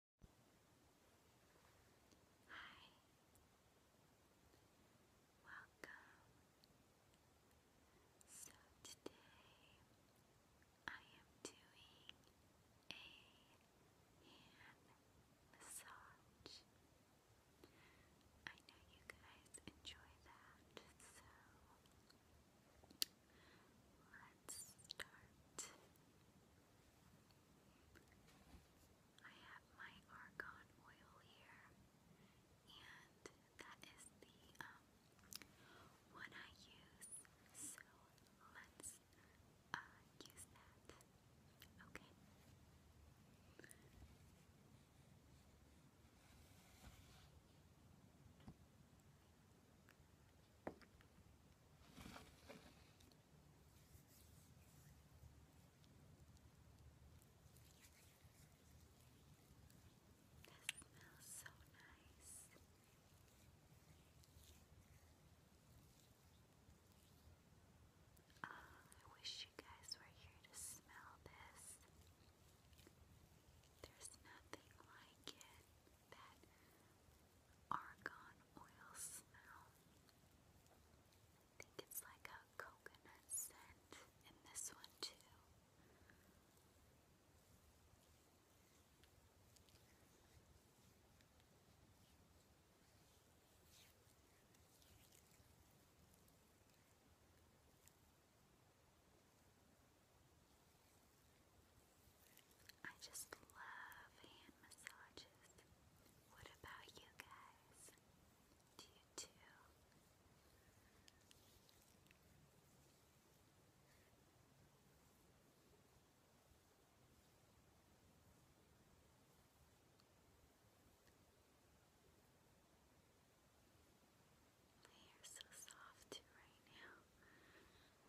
Hi. Welcome. So today I am doing a hand massage. I know you guys enjoy that, so let's start. I have my argon oil here, and that is the um one I use. So let's uh use that. Okay smells so nice. Ah, I wish you guys were here to smell this. There's nothing like it argan oil smell. I think it's like a coconut scent in this one too. I just love hand massages. What about you guys? Do you too? They are so soft right now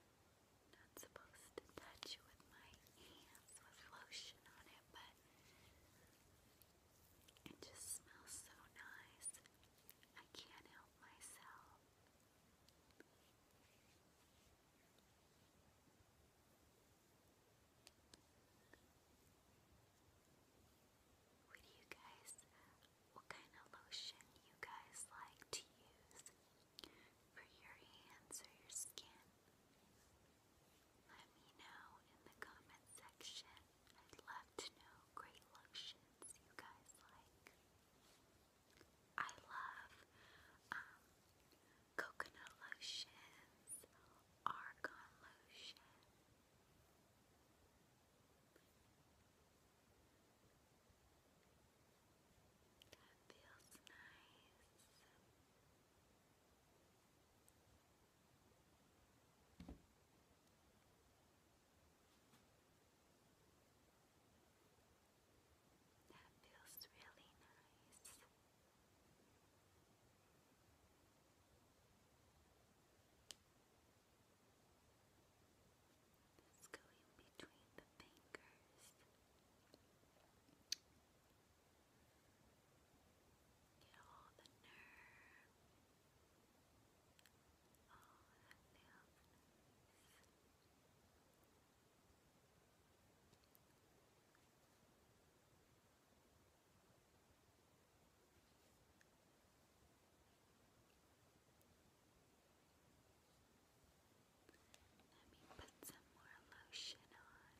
not supposed to touch it with my hands with lotion on it, but it just smells so nice. I can't help myself. What do you guys, what kind of lotion you guys like to use? for your hands or your skin. Let me know in the comment section. I'd love to know great lotions you guys like. I love um, coconut lotions, argan lotion. That feels nice. That feels really nice. Let's between the fingers. Get all the nerve. All the nails. Let me some more lotion on.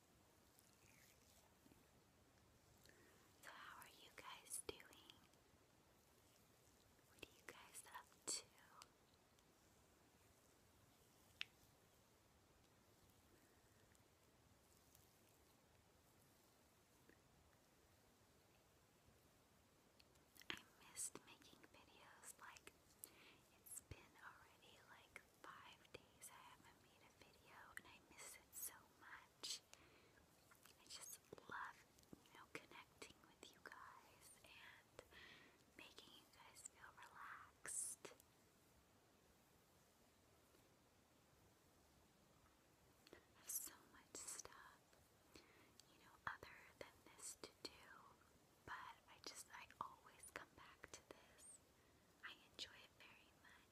So, how are you guys doing? What are you guys up to? I missed making videos like it's been already like five days I haven't made a video and I miss it so much. I just love, you know, connecting with you guys and making you guys feel relaxed. I have so much stuff, you know, other than this to do, but I just, I always come back to this. I enjoy it very much.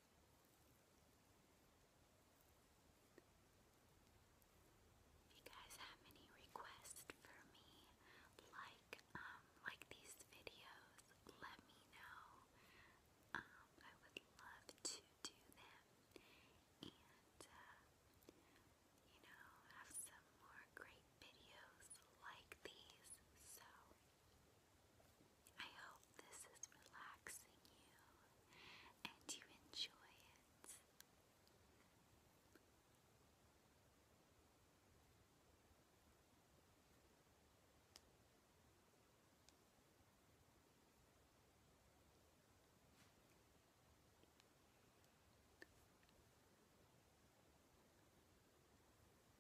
If you guys have any requests for me, like um, like these videos, let me know. Um, I would love to do them and uh, you know have some more great videos like these. So I hope this is relaxing you and you enjoy it.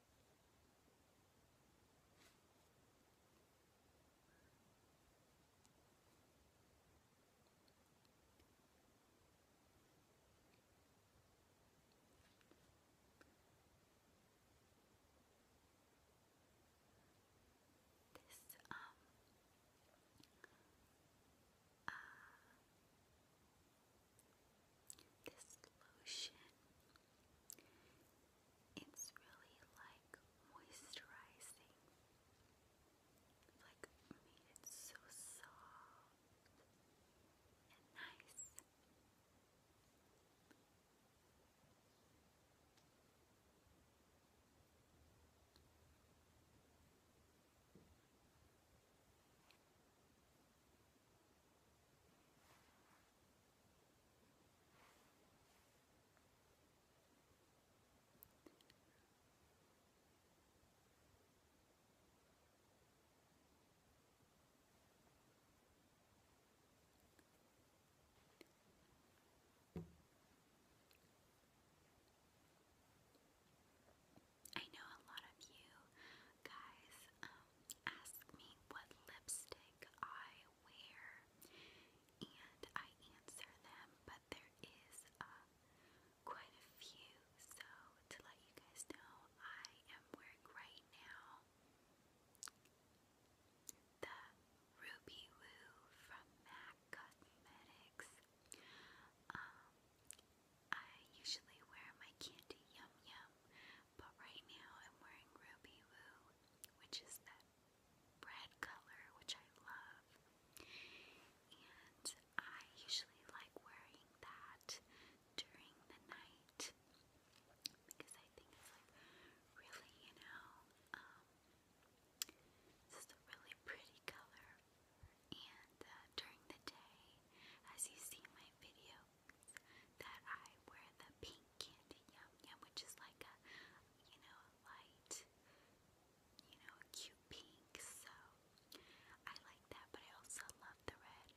This um uh, this lotion it's really like moisturizing. Like made it so soft and nice. I know a lot of you guys um, asked me what lipstick I wear, and I answer them, but there is uh, quite a few. So, to let you guys know, I am wearing right now the Ruby Woo from MAC Cosmetics. Um, I usually wear my Candy Yum Yum but right now I'm wearing Ruby Woo, which is that red color, which I love. And I usually like wearing that during the night because I think it's like really, you know, um, this is a really pretty color. And uh, during the day, as you see my video, that I wear the pink candy yum yum, which is like a, you know, light, you know, cute pink. So I like that, but I also love the red.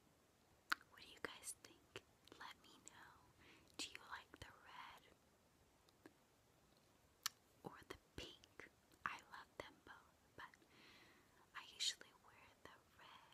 What do you guys think? Let me know. Do you like the red or the pink? I love them both, but I usually wear the red.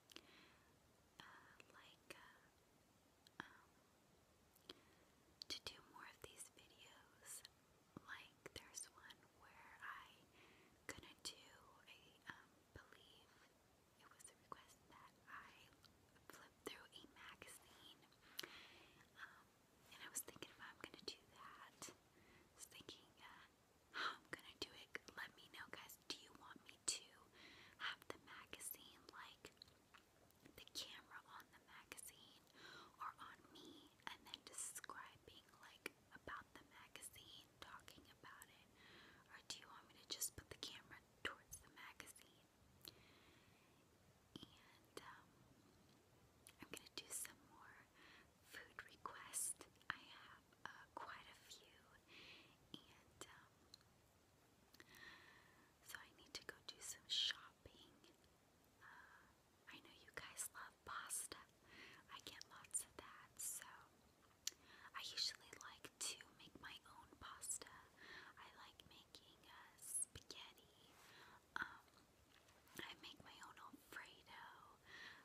uh, like um, to do more of these videos. Like there's one where I gonna do a um, believe it was a request that I flip through a magazine, um, and I was thinking if I'm gonna do that. I was thinking uh, I'm gonna do it, let me know, guys. Do you want me to have the magazine, like the camera on the magazine, or on me, and then describing, like, about the magazine, talking about it? Or do you want me to just put the camera towards the magazine? And, um, I'm gonna do some more food requests. I have uh, quite a few, and um, so I need to go do some shopping. Uh, I know you guys love pasta. I get lots of that, so I usually like to make my own pasta. I like making uh, spaghetti. Um, I make my own Alfredo,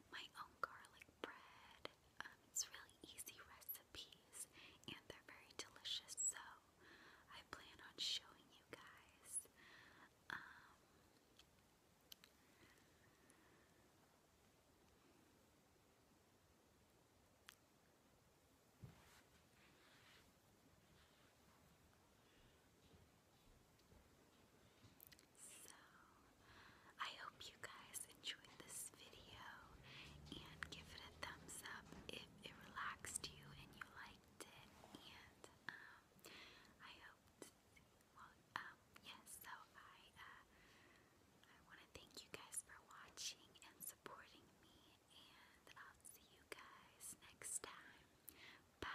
my own garlic bread. Um, it's really easy recipes and they're very delicious, so I plan on showing you guys. Um, so, I hope you guys enjoyed this video and give it a thumbs up if it relaxed you and you liked it. And um, I hope, well, um, yes. So I, uh, I want to thank you guys for watching and supporting me, and I'll see you guys next time. Bye.